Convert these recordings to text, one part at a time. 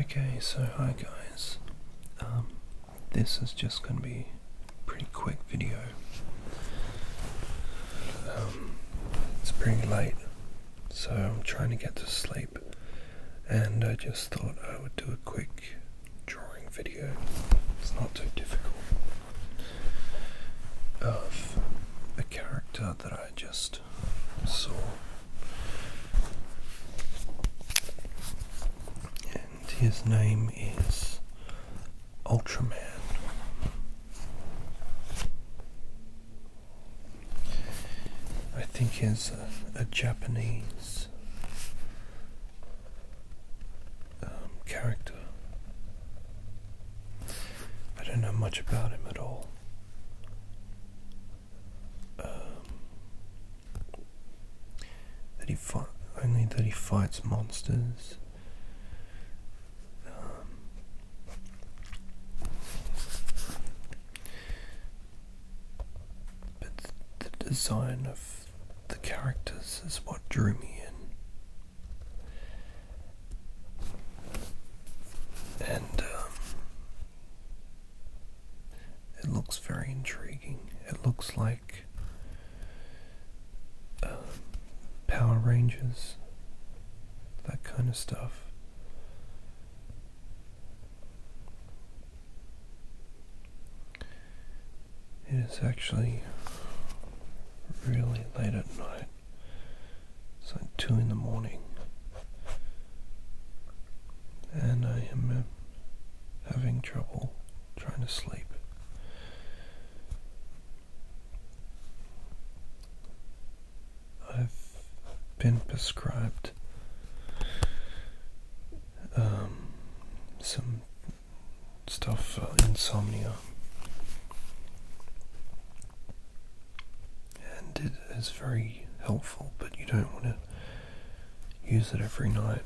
Okay, so hi guys. Um, this is just going to be a pretty quick video. Um, it's pretty late, so I'm trying to get to sleep, and I just thought I would do a quick drawing video. It's not too difficult. Of a character that I just saw. And his name is Ultraman. I think he's a, Japanese um, character. I don't know much about him at all. Um, that he fight, only that he fights monsters. Um, but the design of the characters is what drew me in. And um, it looks very intriguing. It looks like um, Power Rangers, that kind of stuff. It is actually really late at night. It's like two in the morning, and I am uh, having trouble trying to sleep. I've been prescribed um, some stuff, for uh, insomnia. And it is very helpful, but you don't want to use it every night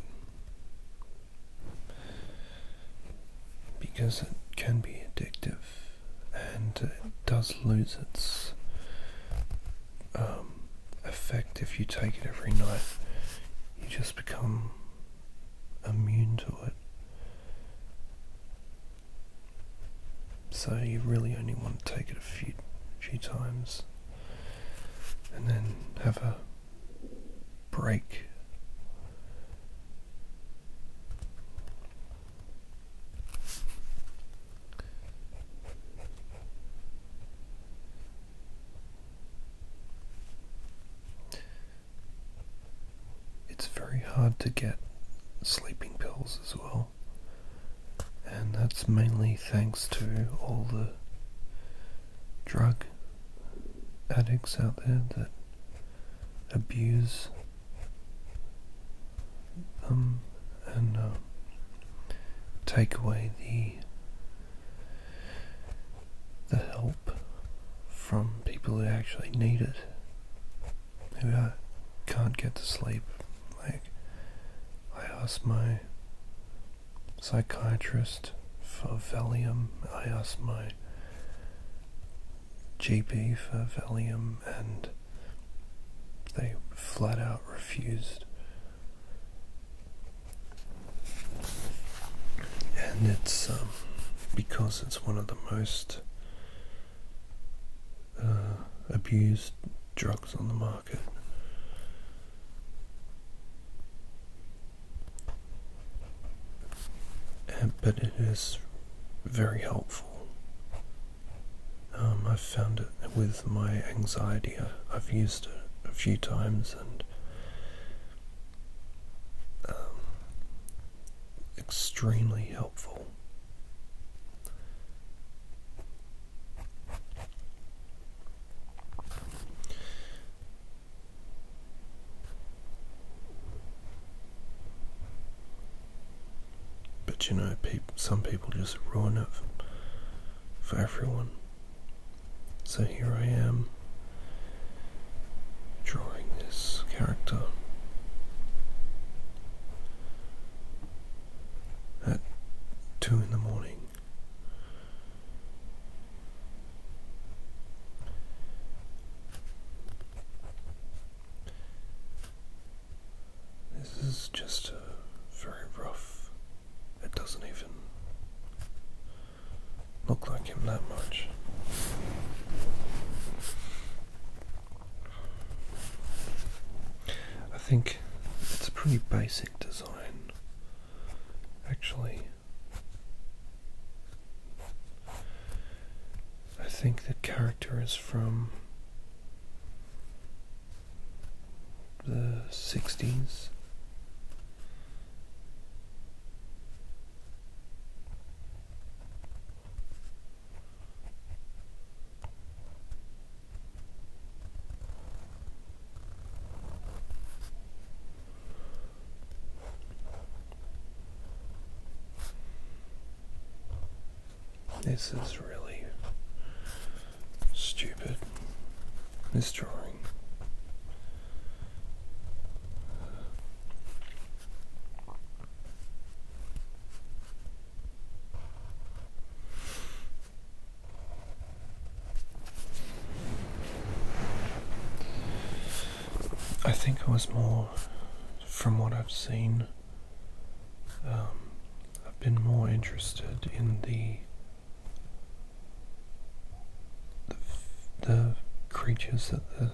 because it can be addictive and it does lose its um, effect if you take it every night. You just become immune to it. So you really only want to take it a few few times and then have a break. It's very hard to get sleeping pills as well, and that's mainly thanks to all the drug addicts out there that abuse them um, and um, take away the the help from people who actually need it, Maybe I can't get to sleep. Like, I asked my psychiatrist Favelium. I asked my GP Favelium, and they flat out refused and it's um, because it's one of the most uh, abused drugs on the market. but it is very helpful. Um, I've found it with my anxiety. I, I've used it a few times and um, extremely helpful. But you know, some people just ruin it for everyone. So here I am drawing this character at two in the morning. This is just a very rough, it doesn't even look like him that much. I think it's a pretty basic design, actually. I think the character is from the 60s this is really stupid. This drawing. I think I was more from what I've seen. Um, I've been more interested in the the, creatures that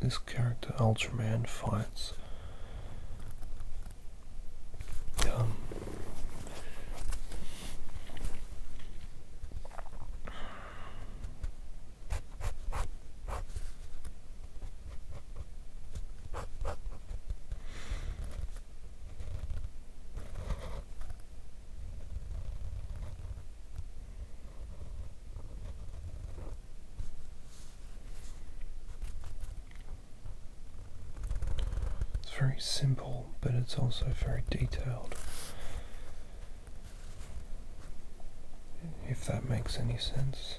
this character Ultraman fights. Um, it's very simple, but it's also very detailed. If that makes any sense.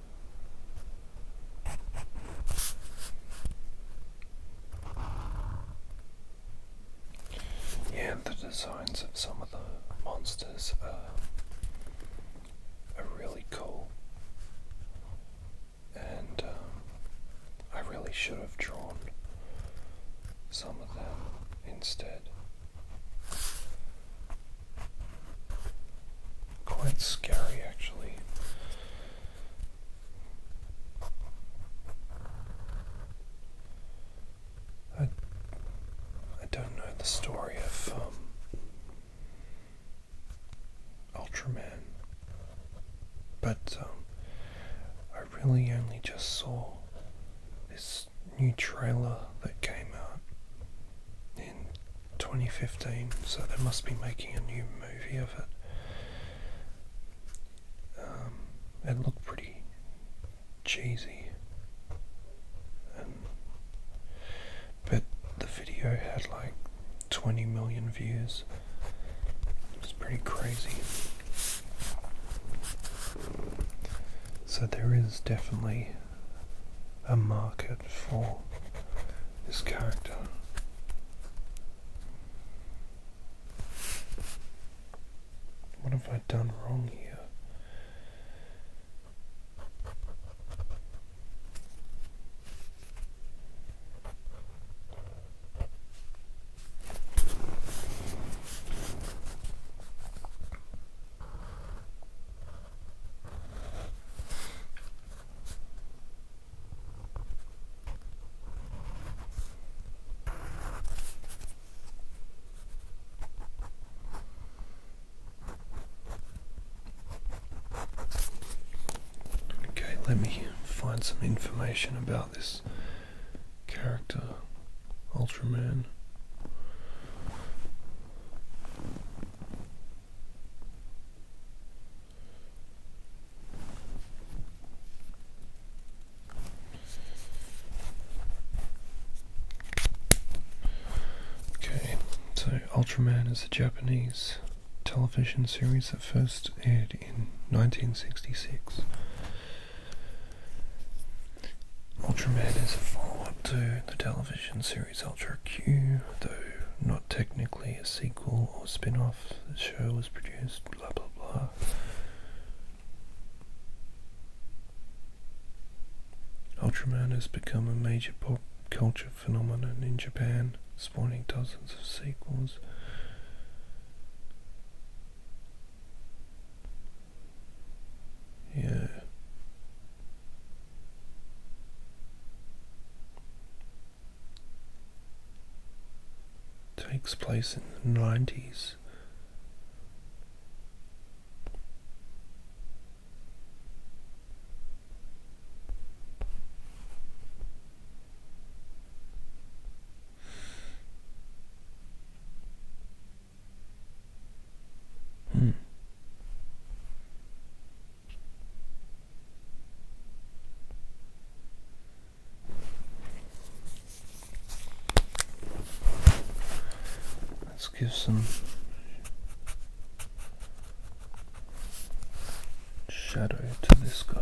And the designs of some of the monsters are, are really cool. And um, I really should have drawn some of them instead. Quite scary, actually. I, I don't know the story of um, Ultraman, but um, I really only just saw this new trailer that came out in 2015, so they must be making a new movie of it. Um, it looked pretty cheesy, but the video had like 20 million views. It's pretty crazy. So there is definitely a market for this character. What have I done wrong here? Okay, let me find some information about this character, Ultraman. Okay, so Ultraman is a Japanese television series that first aired in 1966. Ultraman is a follow up to the television Series Ultra Q, though not technically a sequel or spin off, the show was produced, blah blah blah. Ultraman has become a major pop culture phenomenon in Japan, spawning dozens of sequels. Yeah. Takes place in the 90s. Hmm. Let's give some shadow to this guy.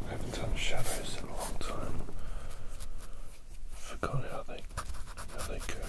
I haven't done shadows in a long time forgot how they how they go.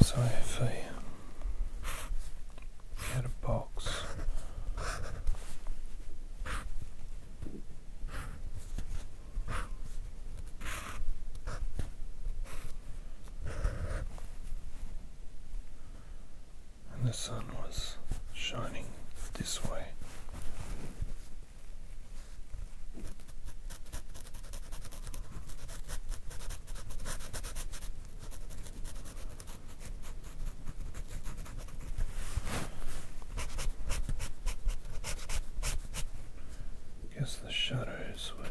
So if we had a box and the sun was shining this way I guess the shadows would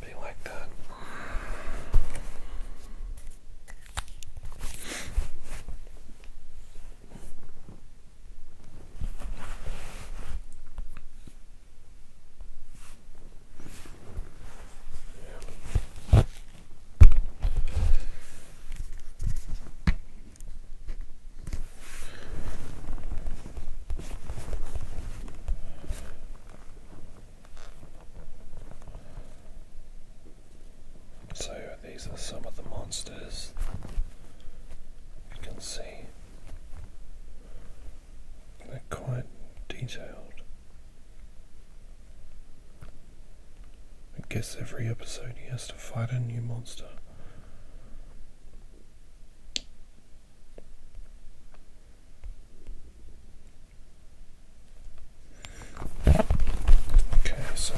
Be like that. Yeah. So these are some of the monsters you can see. They're quite detailed. I guess every episode he has to fight a new monster. Okay, so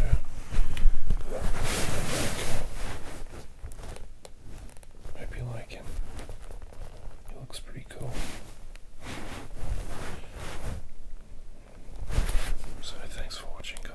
hope you like him. He looks pretty cool. So thanks for watching guys.